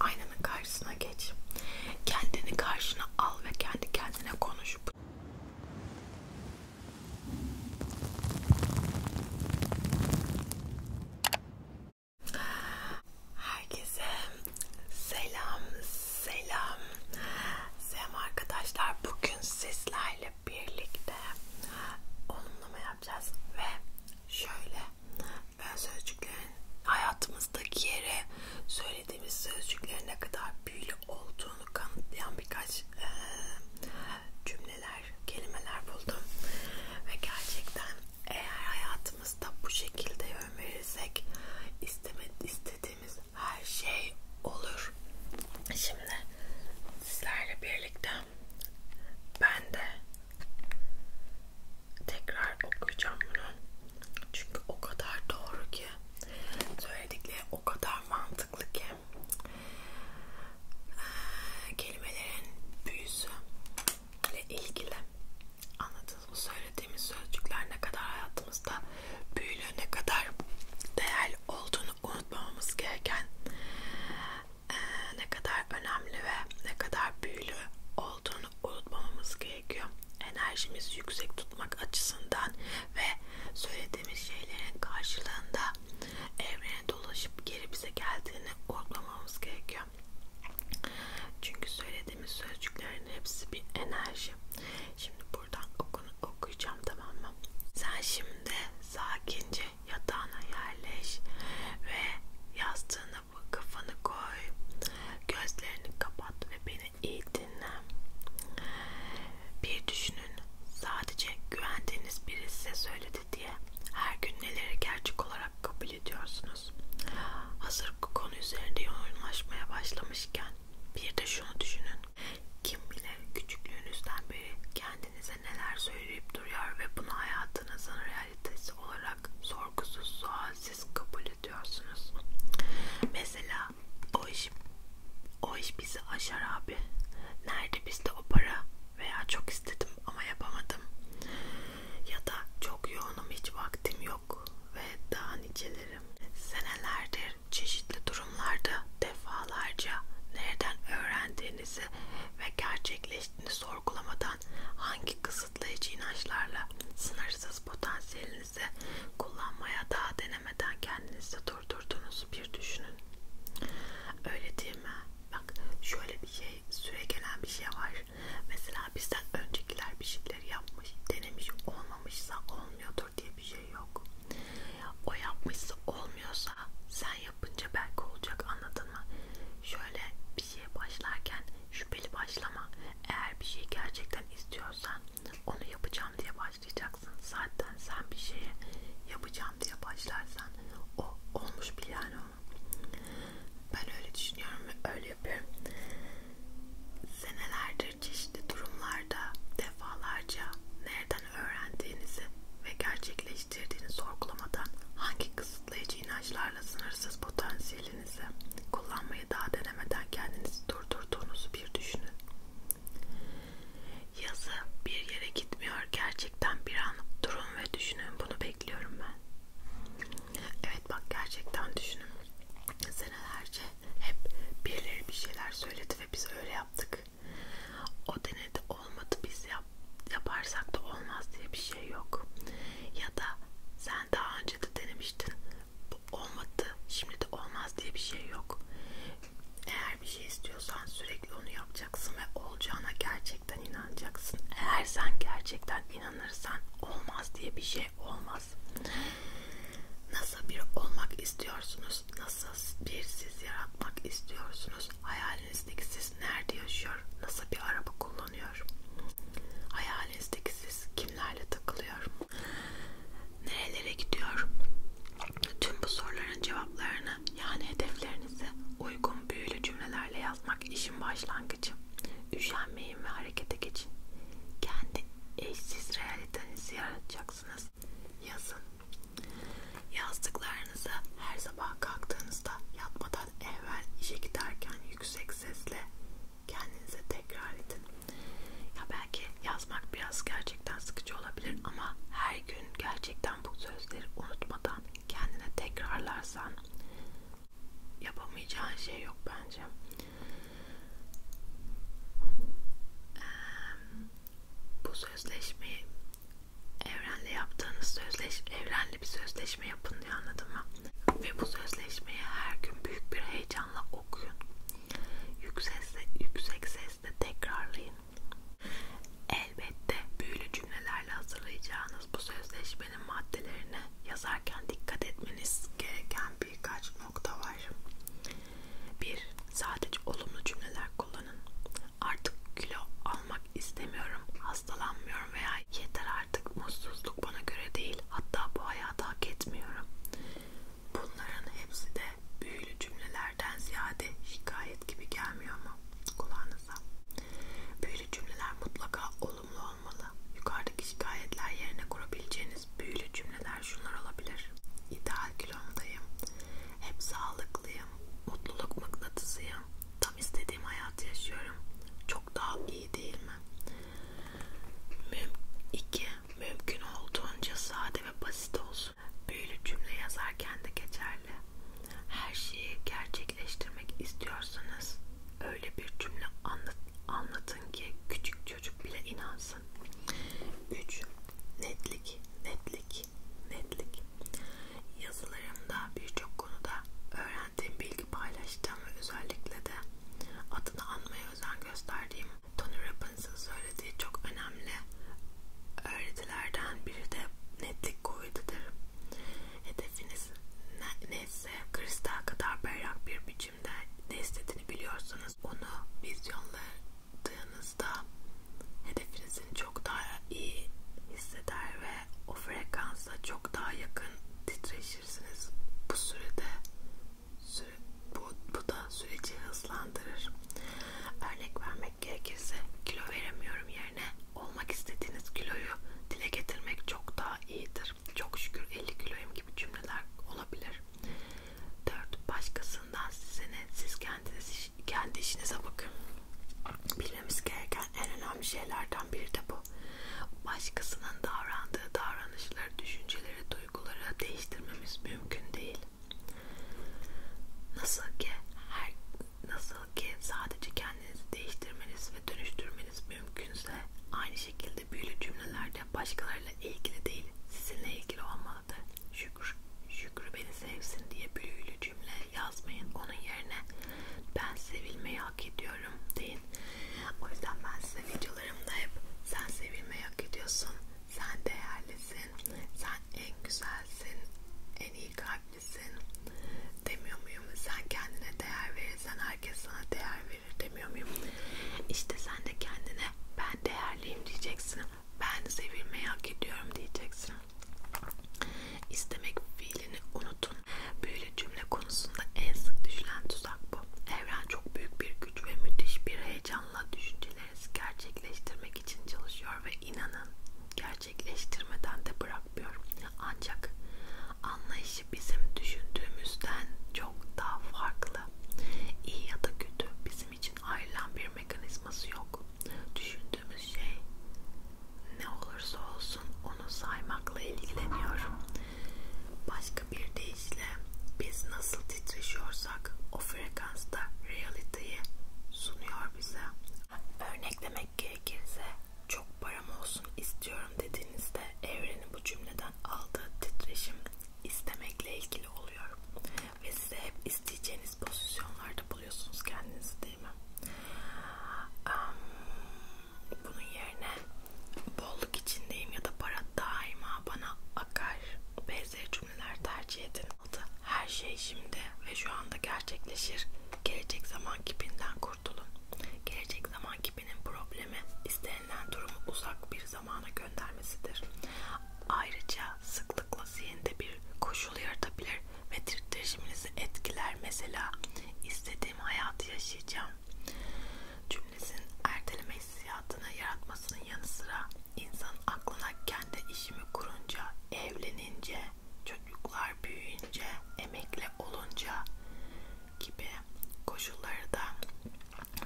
Aynanın karşısına geç. Kendini karşına al ve kendi kendine konuş. Herkese selam, selam. Selam arkadaşlar. Bugün sizlerle birlikte onunlama yapacağız ve şöyle sözcüklerin hayatımızdaki yere söylediğimiz sözcüklerin ne kadar büyülü olduğunu kanıtlayan birkaç e, cümleler, kelimeler buldum. Ve gerçekten eğer hayatımızda bu şekilde yön verirsek istediğimiz her şey olur. Şimdi sizlerle birlikte ben de Tekrar okuyacağım bunu. Çünkü o kadar doğru ki. Söyledikleri o kadar mantıklı ki. Ee, kelimelerin büyüsü ile ilgili anladınız mı? Söylediğimiz sözcükler ne kadar hayatımızda büyülü, ne kadar değerli olduğunu unutmamamız gereken e, ne kadar önemli ve ne kadar büyülü olduğunu unutmamamız gerekiyor. Enerjimizi yüksek tutmak açısından ve söylediğimiz şeylerin karşılığında evrene dolaşıp geri bize geldiğini unutmamamız gerekiyor. Çünkü söylediğimiz sözcüklerin hepsi bir enerji. Şimdi buradan okunu okuyacağım tamam mı? Sen şimdi sakince yatağına yerleş ve yastığını bana bu kafanı koy, gözlerini kapat ve beni iyi dinle. Bir düşünün, sadece güvendiğiniz biri size söyledi diye her gün neleri gerçek olarak kabul ediyorsunuz. Hazır bu konu üzerinde yoğunlaşmaya başlamışken bir de şunu düşünün. Kim bilir küçüklüğünüzden beri kendinize neler söyleyip duruyor ve bunu hayatınızın real realitesi olarak sorgusuz sualsiz kabul ediyorsunuz. Mesela o iş o iş bizi aşar abi. Nerede bizde o para? Veya çok istedim ama yapamadım. Ya da çok yoğunum hiç vaktim yok ve daha niceleri. Senelerdir çeşitli durumlarda defalarca nereden öğrendiğinizi ve gerçekleştiğini sorgulamadan hangi kısım kısıtlayıcı inançlarla sınırsız potansiyelinizi kullanmaya daha denemeden kendinizi durdurduğunuzu bir düşünün. Öyle değil mi? Bak şöyle bir şey, süre gelen bir şey var. Mesela bizden öncekiler bir şeyleri yapmış, denemiş, olmamışsa olmuyordur diye bir şey yok. O yapmışsa olmuyorsa sen yapınca belki olacak anladın mı? Şöyle bir şeye başlarken şüpheli başlama. Eğer bir şeyi gerçekten istiyorsan onu yapacağım diye başlayacaksın. Zaten sen bir şeye yapacağım diye başlarsan o olmuş bile yani onu. Ben öyle düşünüyorum ve öyle yapıyorum. Senelerdir çeşitli durumlarda defalarca nereden öğrendiğinizi ve gerçekleştirdiğinizi geliştirdiğini sorgulamadan hangi kısıtlayıcı inançlarla sınırsız potansiyelinizi kullanmayı daha denemeden kendinizi durdurduğunuzu bir düşünün. Yazı bir yere gitmiyor. Gerçekten bir an durun ve düşünün. Bunu bekliyorum ben. Evet bak gerçekten düşünün. Senelerce hep birileri bir şeyler söyledi ve biz öyle yaptık. O denedi olmadı biz ya yap, yaparsak da olmaz diye bir şey yok. Ya da sen daha önce de denemiştin. Bu olmadı. Şimdi de olmaz diye bir şey yok. Eğer bir şey istiyorsan sürekli onu yapacaksın ve olacağına gerçekten inanacaksın. Eğer sen gerçekten inanırsan olmaz diye bir şey olmaz. Nasıl bir olmak istiyorsunuz? Nasıl bir siz yaratmak istiyorsunuz? Hayal hayalinizdeki siz nerede yaşıyor, nasıl bir araba kullanıyor, hayalinizdeki siz kimlerle takılıyor, nerelere gidiyor, tüm bu soruların cevaplarını yani hedeflerinizi uygun büyülü cümlelerle yazmak işin başlangıcı. Üşenmeyin ve harekete geçin. Kendi eşsiz realitenizi yaratacaksınız. Yazın. Yazdıklarınız çocuklarınızı her sabah kalktığınızda yatmadan evvel işe giderken yüksek sesle kendinize tekrar edin. Ya belki yazmak biraz gerçekten sıkıcı olabilir ama her gün gerçekten bu sözleri unutmadan kendine tekrarlarsan yapamayacağın şey yok bence. Bu sözleşmeyi evrenle yaptığınız sözleş evrenle bir sözleşme yapın diye anladın mı? Ve bu sözleşmeyi her gün büyük bir heyecanla okuyun. Yüksek sesle, yüksek sesle tekrarlayın. Elbette büyülü cümlelerle hazırlayacağınız bu sözleşmenin maddelerine yazarken dikkat etmeniz gereken birkaç nokta var. 1. Sadece olumlu cümleler kullanın. Artık kilo almak istemiyorum, hastalanmıyorum veya yeter artık mutsuzluk bana göre değil, hatta bu hayatı hak etmiyorum. Bunların hepsi de büyülü cümlelerden ziyade şikayet gibi gelmiyor mu kulağınıza? Büyülü cümleler mutlaka olumlu olmalı. Yukarıdaki şikayetler yerine kurabileceğiniz büyülü cümleler şunlar olabilir. İdeal kilomdayım, hep sağlıklıyım, mutluluk mıknatısıyım, tam istediğim hayatı yaşıyorum. Çok daha iyi değil mi? Müm iki, mümkün olduğunca sade ve basit olsun. Büyülü cümle yazarken de geçerli. Her şeyi gerçekleştirmek istiyorsanız öyle bir cümle anlat, anlatın ki küçük çocuk bile inansın. 3. Netlik, netlik netlik, netlik. Yazılarımda birçok konuda öğrendiğim bilgi paylaştığım ve özellikle de adını anmaya özen gösterdiğim Tony Rappins'in söylediği çok önemli öğretilerden biri de netlik kuvvetidir. Hedefiniz neyse kristal kadar berrak bir biçimde ne istediğini biliyorsanız onu vizyonladığınızda hedefinizin çok daha iyi hisseder ve o frekansa çok daha yakın titreşirsiniz. Bu sürede süre, bu, bu da süreci hızlandırır. Örnek vermek gerekirse kilo veremiyorum yerine olmak istediğiniz kiloyu dile getirmek çok daha iyidir. Çok şükür 50 kiloyum gibi cümleler olabilir. 4. Başkasından size ne? Siz kendiniz kendi işinize bakın. Bilmemiz gereken en önemli şeylerden biri de bu. Başkasının davrandığı davranışları, düşünceleri, duyguları değiştirmemiz mümkün değil. Nasıl ki her nasıl ki sadece kendinizi değiştirmeniz ve dönüştürmeniz mümkünse aynı şekilde büyülü cümlelerde başkalarıyla ilgili değil sizinle ilgili olmalıdır. Şükür, şükür beni sevsin diye büyülü cümle yazmayın. Onun yerine ben sevilmeyi hak ediyorum deyin. O yüzden ben size videolarımda hep sen sevilmeyi hak ediyorsun, sen değerlisin, sen en güzelsin, en iyi kalplisin demiyor muyum? Sen kendine değer verirsen herkes sana değer verir demiyor muyum? İşte sen de kendine ben değerliyim diyeceksin. Ben sevilmeyi hak ediyorum diyeceksin. İstemek fiilini unutun. Büyülü cümle konusunda en sık düşülen tuzak bu. Evren çok büyük bir güç ve müthiş bir heyecanla düşüncelerinizi gerçekleştirmek için çalışıyor ve inanın gerçekleştirmeden de bırakmıyor. Ancak anlayışı bizim düşündüğümüzden çok daha farklı. İyi ya da kötü bizim için ayrılan bir mekanizması yok. Düşün düşündüğümüz şey ne olursa olsun onu saymakla ilgileniyor. Başka bir deyişle biz nasıl titreşiyorsak o frekansta realiteyi sunuyor bize. Örneklemek gerekirse çok param olsun istiyorum dediğinizde evrenin bu cümleden aldığı titreşim istemekle ilgili oluyor. Ve size hep isteyeceğiniz pozisyonlarda buluyorsunuz kendinizi istediğimi. Bunun yerine bolluk içindeyim ya da para daima bana akar benzeri cümleler tercih edin. Her şey şimdi ve şu anda gerçekleşir. Gelecek zaman kipinden kurtulun. Gelecek zaman kipinin problemi istenilen durumu uzak bir zamana göndermesidir. Ayrıca sıklıkla zihinde bir koşul yaratabilir ve titreşiminizi etkiler. Mesela istediğim hayatı yaşayacağım cümlesinin erteleme hissiyatını yaratmasının yanı sıra insan aklına kendi işimi kurunca, evlenince, çocuklar büyüyünce, emekli olunca gibi koşulları da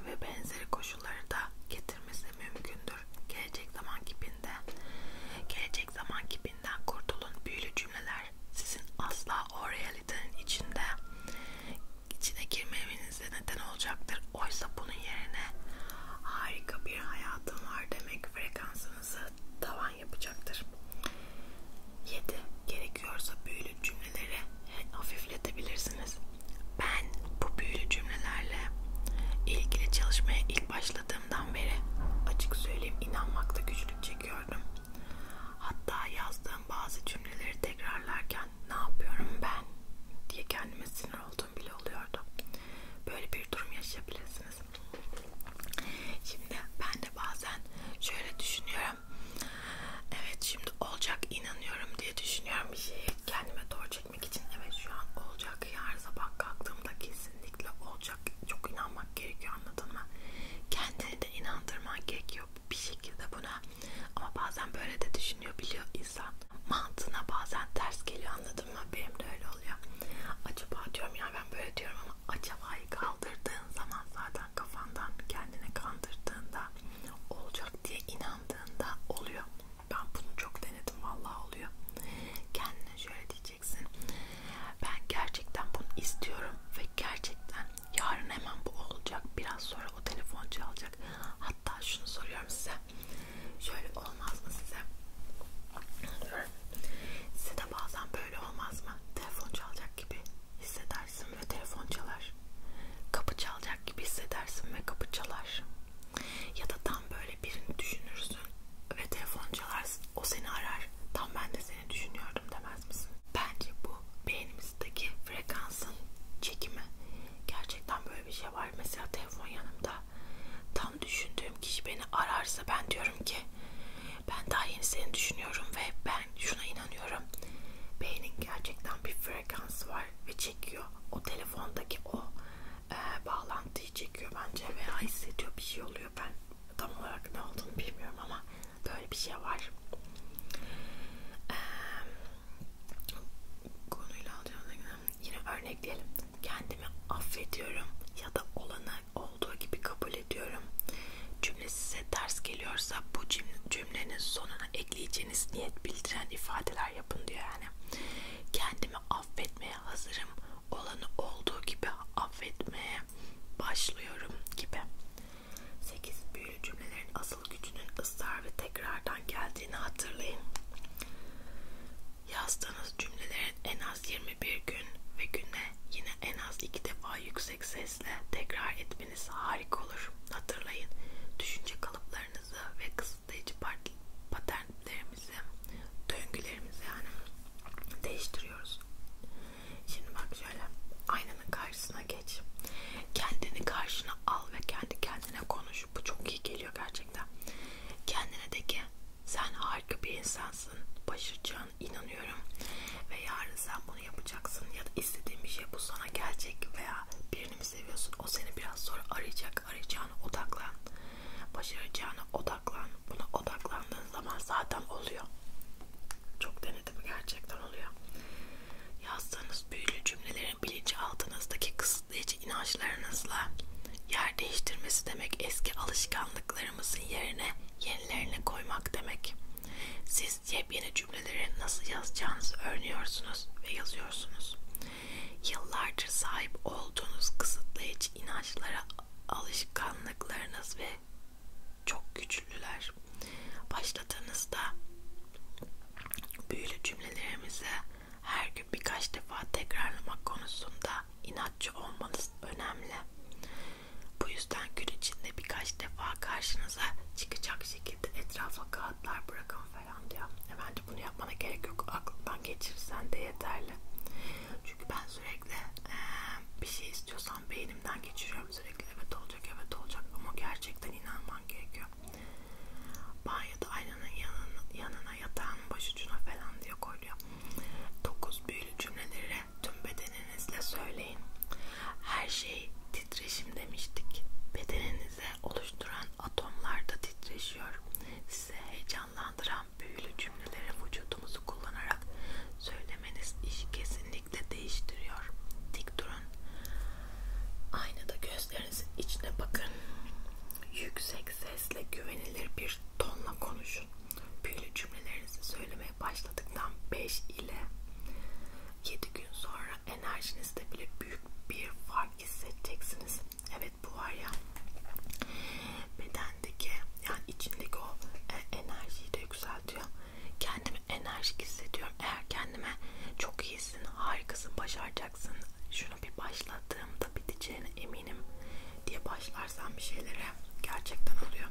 ve benzeri koşulları da getirmesi mümkündür. Gelecek zamanki halinde. Gelecek zaman kipinden kurtulun. Büyülü cümleler sizin asla o realitenin içinde içine girmemenize neden olacaktır. Oysa bunun yerine harika bir hayatım var demek frekansınızı tavan yapacaktır. 7. Gerekiyorsa büyülü cümleleri hafifletebilirsiniz. Ben bu büyülü cümlelerle ilgili çalışmaya ilk başladım başladığımdan beri açık söyleyeyim inanmakta güçlük çekiyordum. Hatta yazdığım bazı cümleleri tekrarlarken ne yapıyorum ben diye kendime sinir olduğum bile oluyordu. Böyle bir durum yaşayabilirsiniz. Şimdi ben de bazen şöyle düşünüyorum. Evet şimdi olacak inanıyorum diye düşünüyorum bir şeyi kendime doğru çekmek etmek için evet şu an olacak her sabah kalktığımda kesinlikle olacak çok inanmak gerekiyor anladın mı? Kendini de inandırman gerekiyor bir şekilde buna ama bazen böyle de düşünüyor biliyor insan mantığına bazen ters geliyor anladın mı? Benim de öyle oluyor. Acaba diyorum ya ben böyle diyorum ama acaba'yı kaldırdığın zaman zaten kafandan kendini kandırdığında olacak diye inandığında oluyor. Ben bunu çok denedim vallahi oluyor. Kendine şöyle diyeceğim hissedeceksin. Ben gerçekten bunu istiyorum ve gerçekten yarın hemen bu olacak. Biraz sonra o telefon çalacak. Hatta şunu soruyorum size. Şöyle olmaz mı size? Size de bazen böyle olmaz mı? Telefon çalacak gibi hissedersin ve telefon çalar. Kapı çalacak gibi hissedersin ve kapı çalar. Ya da tam böyle birini düşünürsün ve telefon çalar, o seni arar. Tam ben de seni düşünüyordum demez misin? Bence bu beynimizdeki frekansın çekimi. Gerçekten böyle bir şey var. Mesela telefon yanımda. Tam düşündüğüm kişi beni ararsa ben diyorum ki ben daha yeni seni düşünüyorum ve ben şuna inanıyorum. Beynin gerçekten bir frekansı var ve çekiyor. O telefondaki o e, bağlantıyı çekiyor bence veya hissediyor bir şey oluyor ben tam olarak ne olduğunu bilmiyorum ama böyle bir şey var e, konuyla alacağım yine örnekleyelim kendimi affediyorum ya da olanı olduğu gibi kabul ediyorum cümle size ters geliyorsa bu cümlenin sonuna ekleyeceğiniz niyet bildiren ifadeler yapın diyor yani kendimi affetmeye hazırım olanı olduğu gibi affetmeye başlıyorum gibi. 8. Büyülü cümlelerin asıl gücünün ısrar ve tekrardan geldiğini hatırlayın. Yazdığınız cümlelerin en az 21 gün ve güne yine en az iki defa yüksek sesle tekrar etmeniz harika olur. Hatırlayın, düşünce kalıplarınızı ve kısıtlayıcı paternlerinizi beklentilerimizi, döngülerimizi yani değiştiriyoruz. Şimdi bak şöyle aynanın karşısına geç. Kendini karşına al ve kendi kendine konuş. Bu çok iyi geliyor gerçekten. Kendine de ki sen harika bir insansın. Başaracağına inanıyorum. Ve yarın sen bunu yapacaksın. Ya da istediğin bir şey bu sana gelecek veya birini mi seviyorsun? O seni biraz sonra arayacak. Arayacağına odaklan başaracağına odaklan. Buna odaklandığın zaman zaten oluyor. Çok denedim gerçekten oluyor. Yazdığınız büyülü cümlelerin bilinçaltınızdaki kısıtlayıcı inançlarınızla yer değiştirmesi demek eski alışkanlıklarımızın yerine yenilerini koymak demek. Siz yepyeni cümleleri nasıl yazacağınızı öğreniyorsunuz ve yazıyorsunuz. Yıllardır sahip olduğunuz kısıtlayıcı inançlara alışkanlıklarınız ve çok güçlüler. Başladığınızda büyülü cümlelerimizi her gün birkaç defa tekrarlamak konusunda inatçı olmanız önemli. Bu yüzden gün içinde birkaç defa karşınıza çıkacak şekilde etrafa kağıtlar bırakın falan diyor. E bence bunu yapmana gerek yok. Aklından geçirsen de yeterli. Çünkü ben sürekli e, bir şey istiyorsam beynimden geçiriyorum sürekli. Evet olacak, evet olacak ama gerçekten inanman gerekiyor. Banyoda aynanın yanına, yanına yatağın başucuna falan diye koyuyor. 9 büyülü cümleleri tüm bedeninizle söyleyin. Her şey titreşim demiştik. Bedeninize oluşturan atomlar da titreşiyor. Size heyecan heyecanlandıran büyülü cümleleri vücudumuzu kullanarak söylemeniz işi kesinlikle değiştiriyor. Dik durun. Aynada gözlerinizin içine bakın. Yüksek sesle güvenilir bir tonla konuşun. Büyülü cümlelerinizi söylemeye başladıktan 5 ile 7 gün sonra enerjinizde bile büyük bir fark hissedeceksiniz. Evet bu var ya bedendeki yani içindeki o e, enerjiyi de yükseltiyor. Kendimi enerjik hissediyorum. Eğer kendime çok iyisin, harikasın, başaracaksın. Şunu bir başladığımda biteceğine eminim diye başlarsam bir şeylere gerçekten oluyor.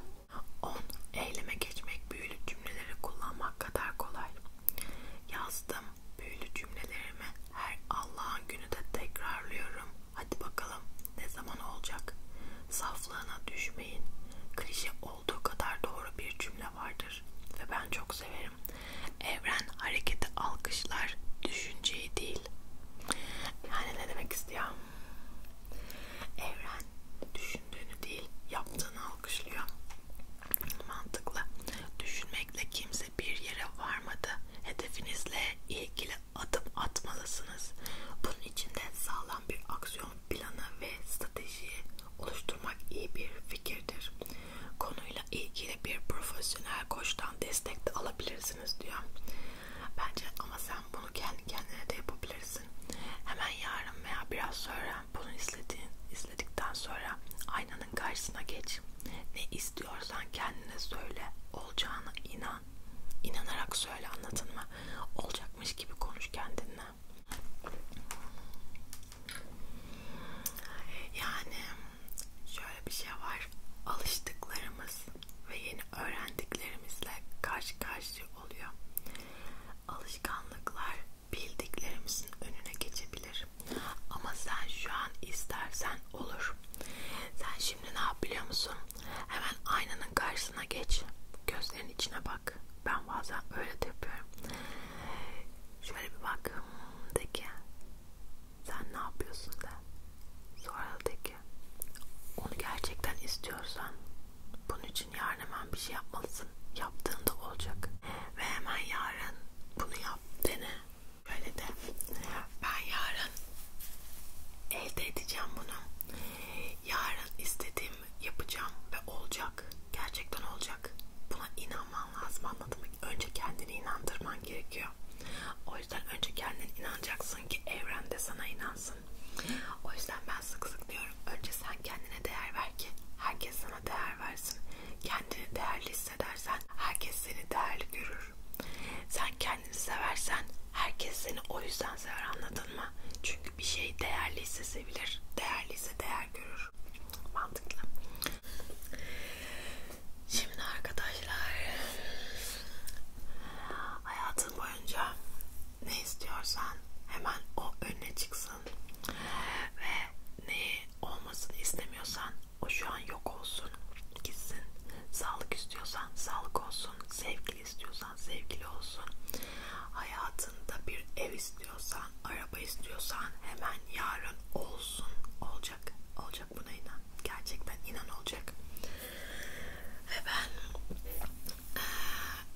10. Eyleme geçmek büyülü cümleleri kullanmak kadar kolay. Yazdım, Büyülü cümlelerimi her Allah'ın günü de tekrarlıyorum. Hadi bakalım ne zaman olacak? Saflığına düşmeyin. Klişe olduğu kadar doğru bir cümle vardır ve ben çok severim. Evren hareketi alkışlar, düşünceyi değil. Yani ne demek istiyorum? Evren düşündüğünü değil, yaptığını alkışlıyor. Mantıklı. Düşünmekle kimse bir yere varmadı hedefinizle ilgili adım atmalısınız. Bunun için de sağlam bir aksiyon planı ve stratejiyi oluşturmak iyi bir fikirdir. Konuyla ilgili bir profesyonel koçtan destek de alabilirsiniz diyor. Bence ama sen bunu kendi kendine de yapabilirsin. Hemen yarın veya biraz sonra bunu izledin, izledikten sonra aynanın karşısına geç. Ne istiyorsun? istiyorsan kendine söyle. Olacağına inan. İnanarak söyle anladın mı? Olacakmış gibi konuş kendinle. Yani şöyle bir şey var. Alıştıklarımız ve yeni öğrendiklerimizle karşı karşıya oluyor. Alışkanlıklar bildiklerimizin önüne geçebilir. Ama sen şu an istersen olur. Sen şimdi ne yap biliyor musun? Hemen aynanın karşısına geç. Gözlerin içine bak. Ben bazen öyle de yapıyorum. Şöyle bir bak. De ki sen ne yapıyorsun de. Sonra de ki onu gerçekten istiyorsan bunun için yarın hemen bir şey yapmalısın. Yaptığında olacak. Ve hemen yarın bunu yap. Dene. Böyle de ben yarın elde edeceğim bunu. Yarın istediğim yapacağım ve olacak. Gerçekten olacak. Buna inanman lazım anladın mı? Önce kendini inandırman gerekiyor. O yüzden önce kendin inanacaksın ki evren de sana inansın. O yüzden ben sık sık diyorum önce sen kendine değer ver ki herkes sana değer versin. Kendini değerli hissedersen herkes seni değerli görür. Sen kendini seversen herkes seni o yüzden sever anladın mı? Çünkü bir şey değerliyse sevilir, değerliyse değer görür. Mantıklı. Şimdi arkadaşlar hayatın boyunca ne istiyorsan hemen o önüne çıksın ve ne olmasını istemiyorsan o şu an yok olsun, gitsin. Sağlık istiyorsan sağlık olsun, sevgili istiyorsan sevgili olsun. Hayatında bir ev istiyorsan, araba istiyorsan hemen yarın olsun. Olacak, olacak buna inan. Gerçekten inan olacak. Ve ben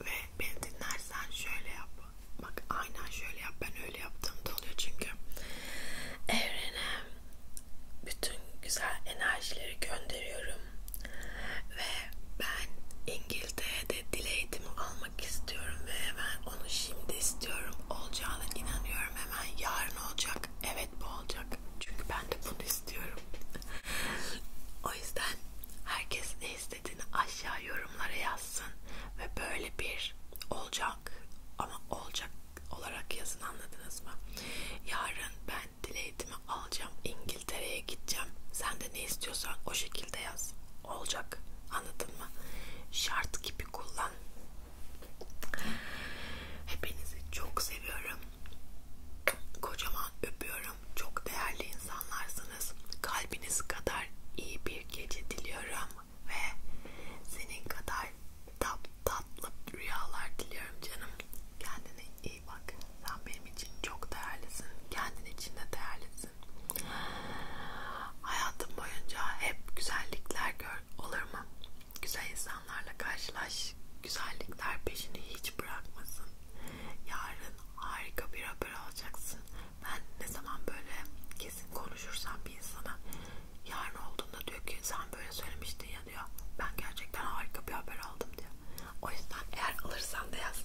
ve beni dinlersen şöyle yap. Bak aynen şöyle yap. Ben böyle yaptığımda oluyor çünkü evrene bütün güzel enerjileri gönderiyorum ve ben İngiltere'de dil eğitimi almak istiyorum ve hemen onu şimdi istiyorum olacağına inanıyorum hemen yarın olacak evet bu olacak çünkü ben de bunu istiyorum o yüzden herkes ne istediğini aşağı yorumlara yazsın ve böyle bir olacağı olacak ama olacak olarak yazın anladınız mı? Yarın ben dil eğitimi alacağım, İngiltere'ye gideceğim. Sen de ne istiyorsan o şekilde yaz. Olacak. Anladın mı? Şart gibi kullan. Hepinizi çok seviyorum. Kocaman öpüyorum. Çok değerli insanlarsınız. Kalbiniz kadar iyi bir gece diliyorum ve senin kadar tat, tatlı rüyalar diliyorum canım. Kendine iyi bak. Sen benim için çok değerlisin. Kendin için de değerlisin. Hayatım boyunca hep güzellikler gör. Olur mu? Güzel insanlarla karşılaş. Güzellikler peşini hiç bırakmasın. Yarın harika bir haber alacaksın. Ben ne zaman böyle kesin konuşursam bir insana yarın olduğunda diyor ki sen böyle söylemiştin ya diyor. Ben gerçekten harika bir haber aldım diyor. O yüzden eğer alırsan da yaz.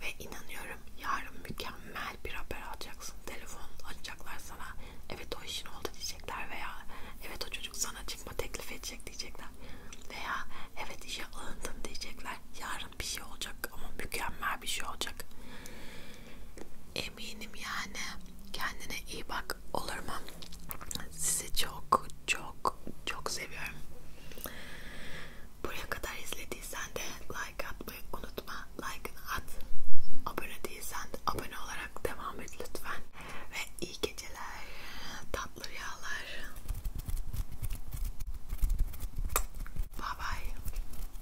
Ve inanıyorum yarın mükemmel bir haber alacaksın. Telefon açacaklar sana. Evet o işin oldu diyecekler veya evet o çocuk sana çıkma teklif edecek diyecekler. Veya evet işe alındın diyecekler. Yarın bir şey olacak ama mükemmel bir şey olacak. Eminim yani. Kendine iyi bak olur mu? Sizi çok çok çok seviyorum. Buraya kadar izlediysen de like atmayı unutma. Like'ını at. Abone değilsen de abone olarak devam et lütfen. Ve iyi geceler. Tatlı rüyalar. Bye bye.